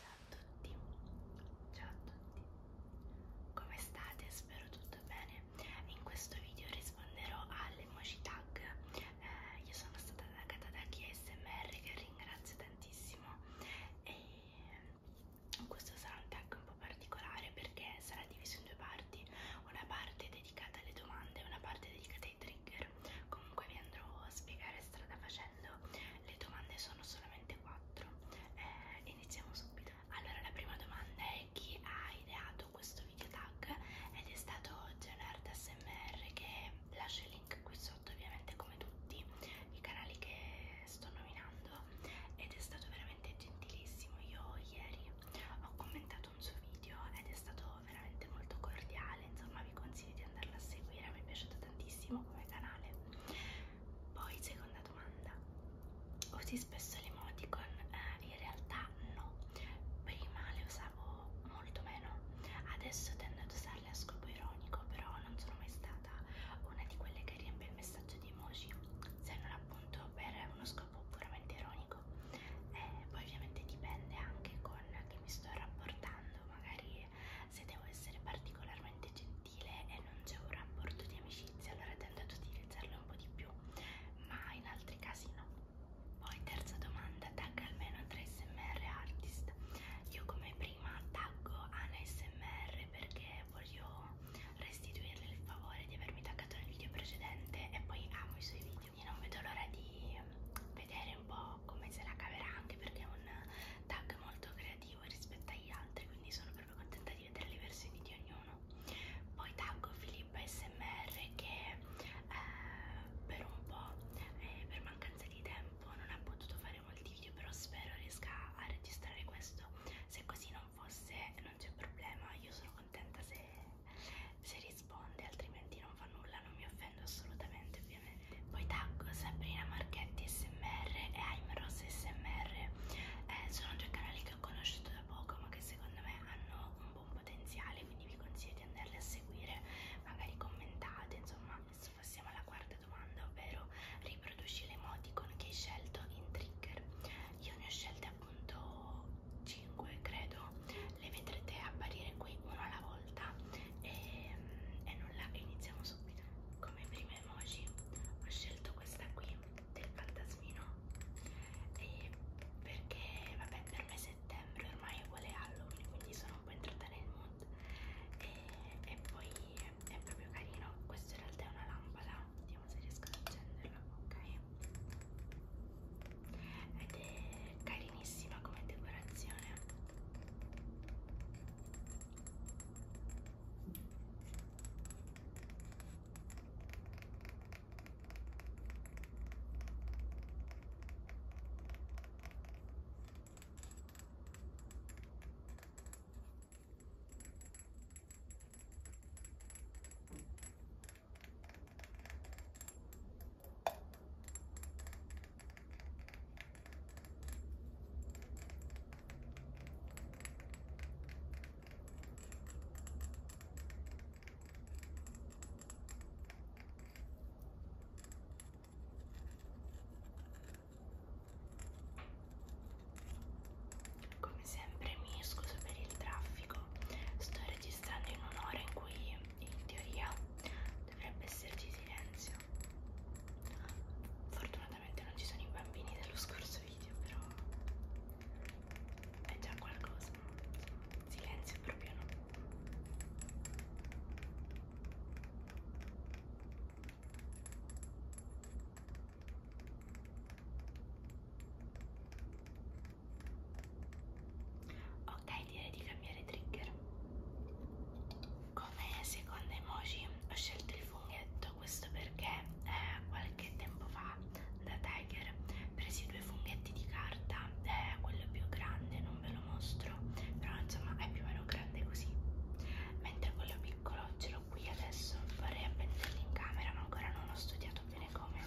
Ciao a tutti, ciao a tutti, come state? Spero tutto bene. In questo video risponderò alle emoji tag. Eh, io sono stata taggata da KSMR che ringrazio tantissimo e ehm, questo sarà un tag un po' particolare perché sarà diviso in due parti, una parte dedicata alle domande e una parte dedicata ai trigger trigger comunque vi andrò a spiegare strada facendo le domande sono solamente quattro eh, iniziamo subito allora la prima domanda è chi ha ideato questo video tag ed è stato Leonard SMR che lascio il link qui sotto ovviamente come tutti i canali che sto nominando ed è stato veramente gentilissimo io ieri ho commentato un suo video ed è stato veramente molto cordiale, insomma vi consiglio di andarla a seguire, mi è piaciuto tantissimo come canale. Poi seconda domanda, usi spesso l'emoticon? Eh, in realtà no, prima le usavo molto meno, adesso tendo ad usarle a scopo ironico, però non sono mai stata una di quelle che riempie il messaggio di emoji, se non appunto per uno scopo puramente ironico. E eh, poi ovviamente dipende anche con chi mi sto rapportando magari se devo essere particolarmente gentile e non c'è un rapporto di amicizia, allora tendo ad utilizzarlo un po' di più, ma in altri casi no. Poi terza domanda, tag almeno 3 smr artist. Io come prima taggo Ana smr perché voglio restituirle il favore di avermi taggato nel video precedente e poi amo i suoi video quindi non vedo l'ora di vedere un po' come se la caverà anche perché è un tag molto creativo rispetto agli altri quindi sono proprio contenta di vedere le versioni di ognuno poi taggo Filippa SMR che eh, per un po' eh, per mancanza di tempo non ha potuto fare molti video però spero riesca a registrare questo se così non fosse non c'è problema io sono contenta se, se risponde, altrimenti non fa nulla, non mi offendo assolutamente ovviamente. Poi taggo Sabrina Marchetti SMR e Aimros SMR, eh, sono due canali che ho conosciuto da poco ma che secondo me hanno un buon potenziale, quindi vi consiglio di andarli a seguire, magari commentate, insomma. Adesso passiamo alla quarta domanda, ovvero riproduci l'emoticon che hai scelto in trigger. Io ne ho scelte appunto 5 credo video le vedrete apparire qui uno alla volta e, e nulla iniziamo subito come prima emoji ho scelto questa qui del fantasmino e perché vabbè per me settembre ormai è uguale Halloween quindi sono un po' entrata nel mood e, e poi è, è proprio carino questo in realtà è una lampada vediamo se riesco ad accenderla ok ed è carino carinissima come decorazione come sempre mi scuso per il traffico, sto registrando in un'ora in cui in teoria dovrebbe esserci silenzio fortunatamente non ci sono i bambini dello scorso video però è già qualcosa silenzio proprio no ok direi, direi di cambiare trigger. Come secondo emoji ho scelto il funghetto, questo perché eh, qualche tempo fa da Tiger presi due funghetti di carta, eh, quello più grande non ve lo mostro, però insomma è più o meno grande così, mentre quello piccolo ce l'ho qui adesso, vorrei appenderli in camera ma ancora non ho studiato bene come,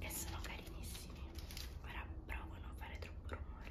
e sono carinissimi, ora provo a non fare troppo rumore.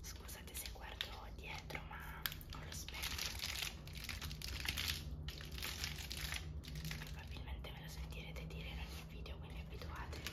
Scusate se guardo dietro, ma ho lo specchio. Probabilmente me lo sentirete dire in ogni video, quindi abituatevi.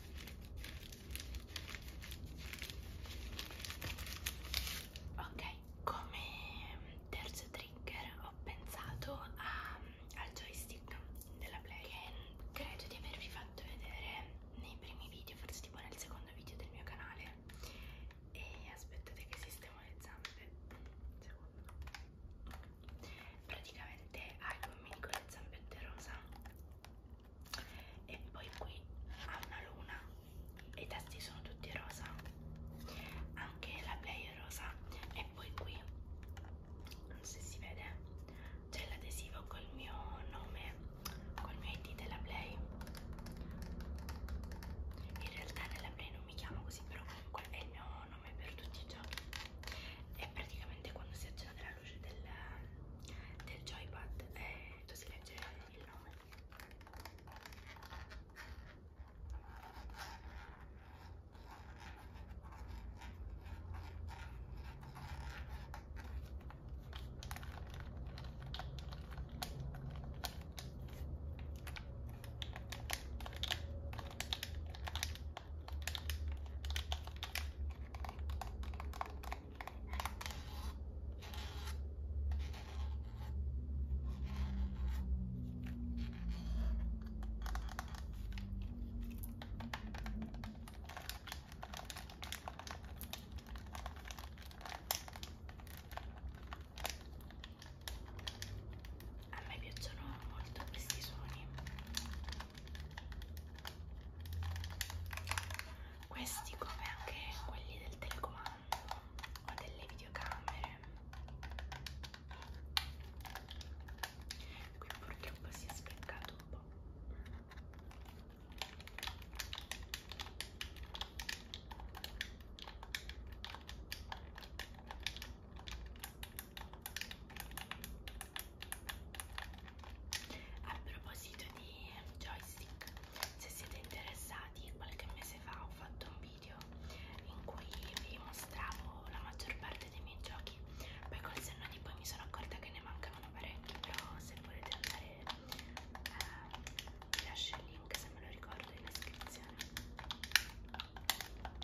ok come terzo trigger ho pensato a, al joystick della play che credo di avervi fatto vedere nei primi video forse tipo nel secondo video del mio canale e aspettate che sistemo le zampe un secondo praticamente ha i gommini con le zampette rosa e poi qui ha una luna e i tasti sono tutti rosa anche la play è rosa e poi qui non so se si vede c'è l'adesivo col mio nome col mio id della play in realtà nella play non mi chiamo così però comunque è il mio nome per tutti i giochi e praticamente quando si accende la la luce del, del joypad e eh, tu si legge il nome a me piacciono molto questi suoni questi come anche quelli del telecomando o delle videocamere. Qui purtroppo si è speccato un po' a proposito di joystick se siete interessati qualche mese fa ho fatto un video in cui vi mostravo la maggior parte dei miei giochi poi col senno di poi mi sono accorta che ne mancavano parecchi però se volete andare eh, vi lascio il link se me lo ricordo in descrizione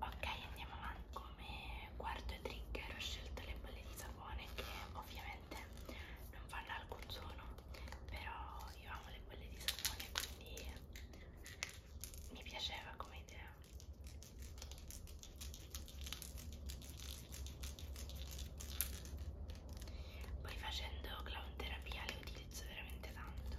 ok andiamo avanti come quarto trigger ho scelto le bolle di sapone che ovviamente non fanno alcun suono però io amo le bolle di sapone quindi mi piaceva come idea poi facendo clown terapia le utilizzo veramente tanto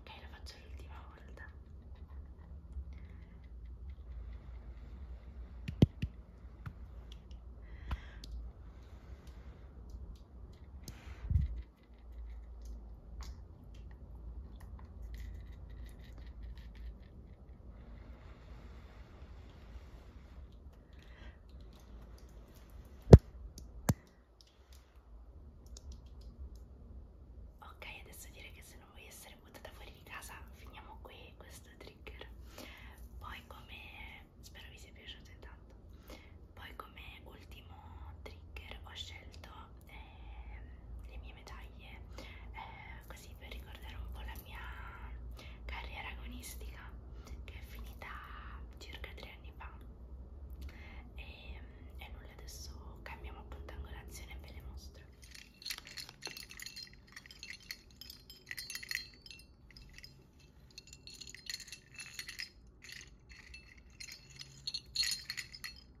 Ok, lo faccio l'ultima volta. Ok, adesso dire che se non vuoi essere buttata fuori di casa, finiamo qui questo trigger. Poi come spero vi sia piaciuto intanto. Poi come ultimo trigger ho scelto eh, le mie medaglie eh, così per ricordare un po' la mia carriera agonistica che è finita circa tre anni fa e, ehm, e nulla adesso cambiamo appunto angolazione e ve le mostro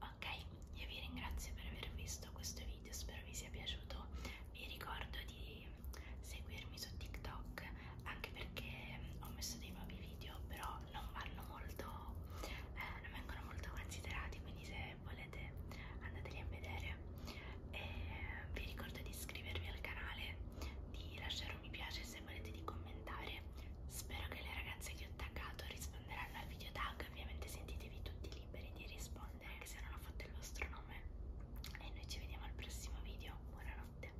Ok, io vi ringrazio per aver visto questo video, spero vi sia piaciuto. Vi ricordo di seguirmi su TikTok anche perché mm, ho messo dei nuovi video, però non vanno molto, eh, non vengono molto considerati, quindi se volete andateli a vedere. E mm, vi ricordo di iscrivervi al canale, di lasciare lasciare un mi piace se volete di commentare spero che le ragazze che ho taggato risponderanno al video tag ovviamente sentitevi tutti liberi di rispondere anche se non ho fatto il vostro nome e noi ci vediamo al prossimo video buonanotte